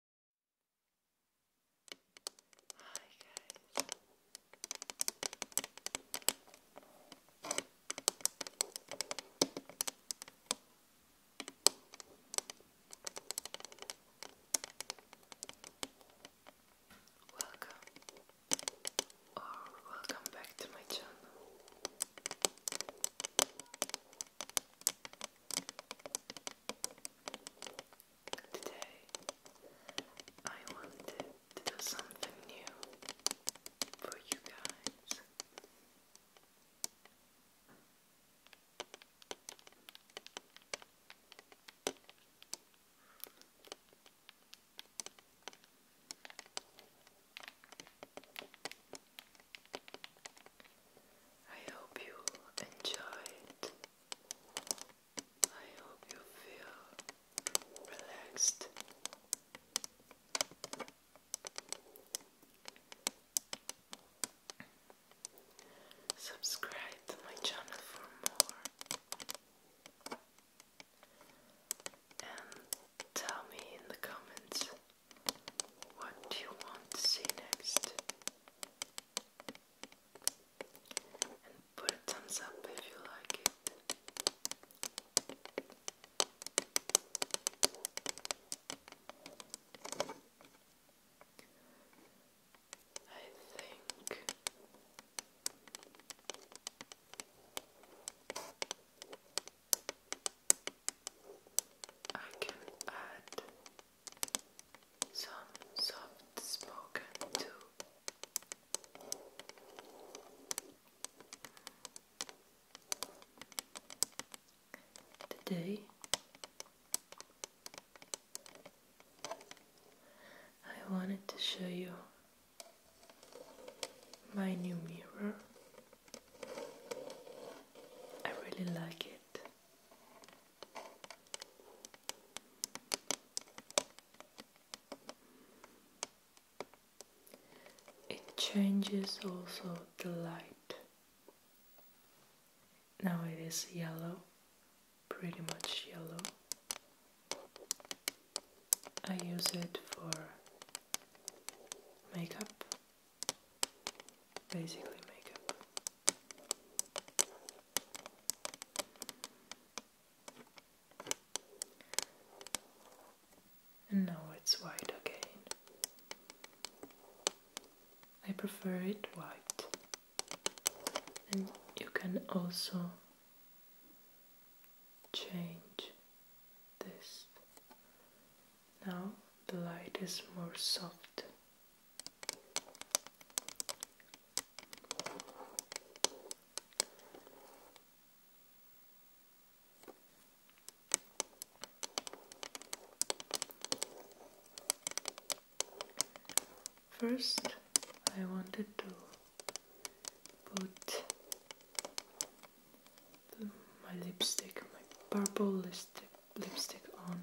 Hi guys. Welcome or welcome back to my channel. Today, I wanted to do something new for you guys. I hope you enjoyed. I hope you feel relaxed. Subscribe to my channel for more and tell me in the comments what do you want to see next? And put a thumbs up if you like it. I think I can add some soft spoken too. Today I wanted to show you my new mirror. I really like it. It changes also the light. Now it is yellow, pretty much yellow. I use it for makeup basically makeup. And now it's white again. I prefer it white. And you can also change this now the light is more soft. First, I wanted to put my lipstick, my purple lipstick, lipstick on.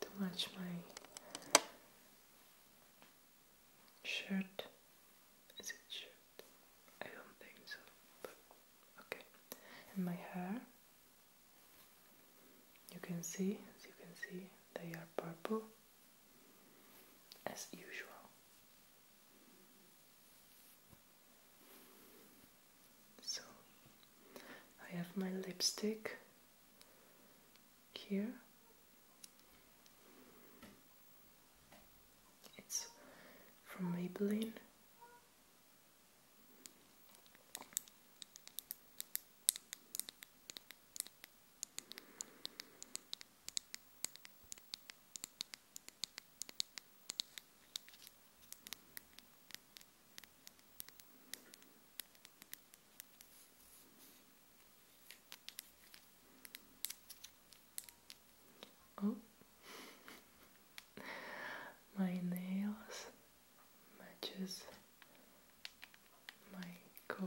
To match my shirt. Is it shirt? I don't think so. okay. And my hair. You can see, as you can see, they are purple as usual. So I have my lipstick here. It's from Maybelline. Oh, my nails matches my cover.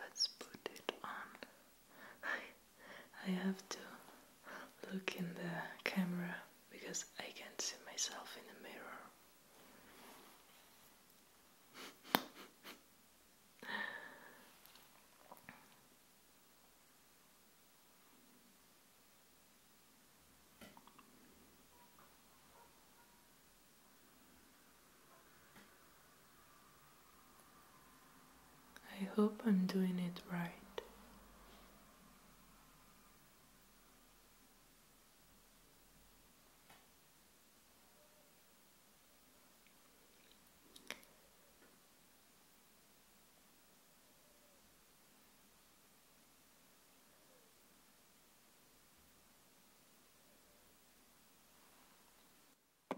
Let's put it on. I, I have to look in the camera because I can't see myself in the mirror. I hope I'm doing it right.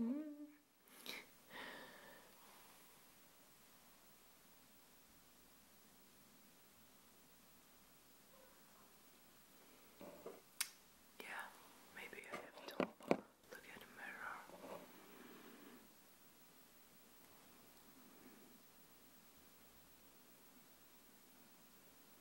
Mm. Yeah, maybe I have to look at the mirror.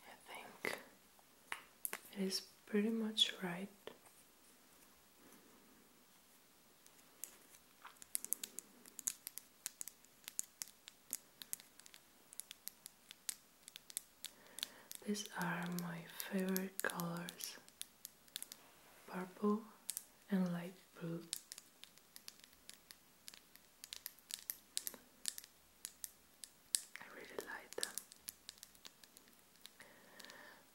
I think it is pretty much right. These are my favorite colors purple and light blue. I really like them.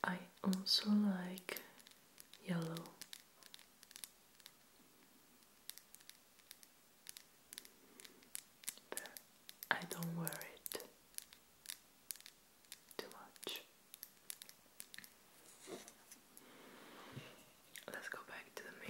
I also like yellow. But I don't wear it too much. Let's go back to the mirror.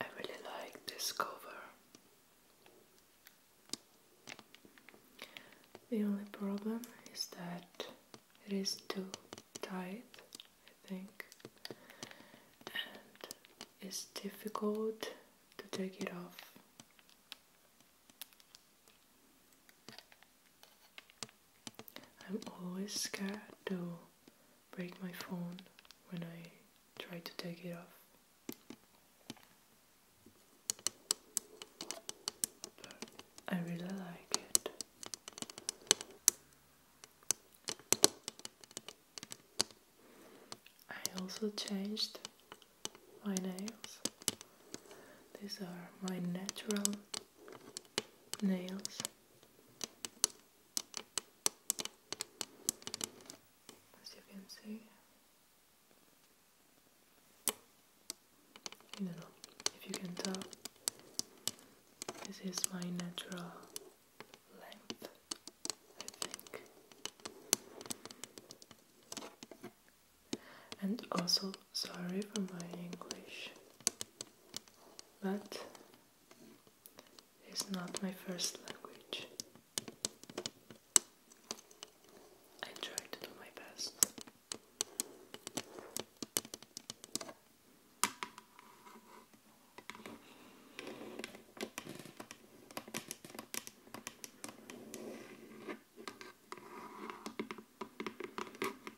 I really like this cover. The only problem is that it is too tight, I think, and it's difficult to take it off. I'm always scared to break my phone when I try to take it off. I really like it. I also changed my nails. These are my natural nails. As you can see, if you can tell, this is my natural length, I think. And also, sorry for my English but it's not my first language. I try to do my best. I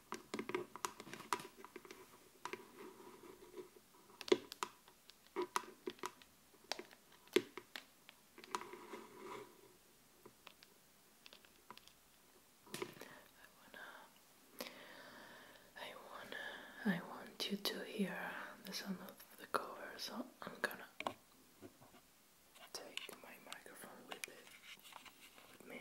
want I want you to hear the sound of the cover, so I'm gonna take my microphone with me.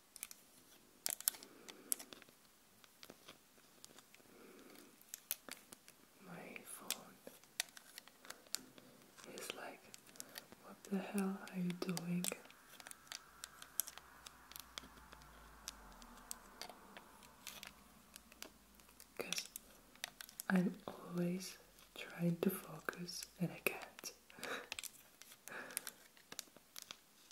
My phone is like, what the hell are you doing? Because I'm always trying to focus and I can't.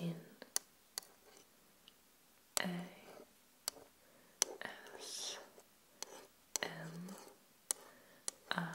in a s m r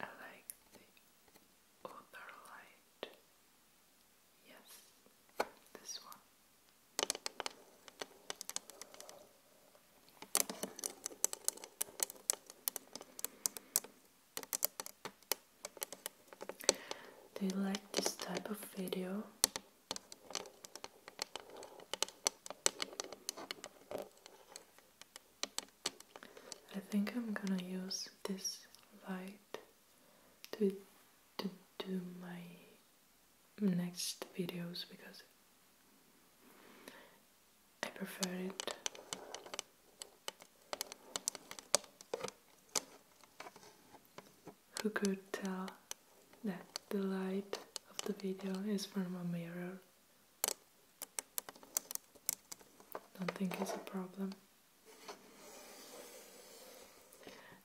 I like the other light. Yes, this one. Do you like this type of video? I think I'm gonna use this light to to do my next videos because I prefer it. Who could tell that the light of the video is from a mirror? Don't think it's a problem.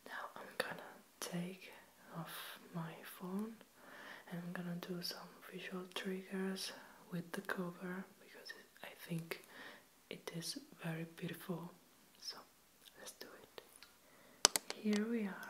Now I'm gonna take off my phone and I'm gonna do some visual triggers with the cover because I think it is very beautiful. So let's do it. Here we are.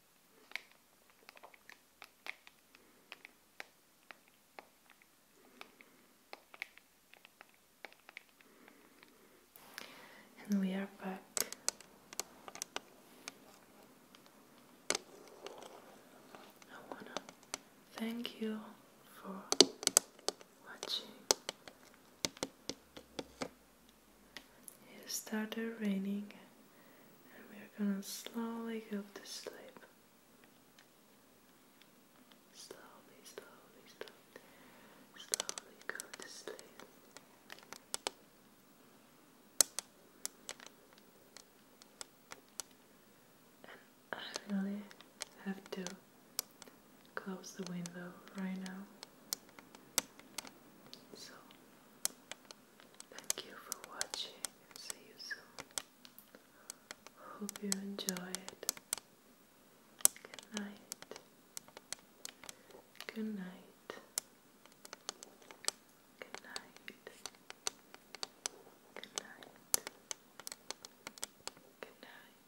And we are back. I wanna thank you for watching. It started raining and we are gonna slowly go to sleep. Slowly, slowly, slowly, slowly go to sleep. And I really have to close the window right now. So Thank you for watching and see you soon. Hope you enjoyed. Good night. Good night. Good night. Good night. Good night.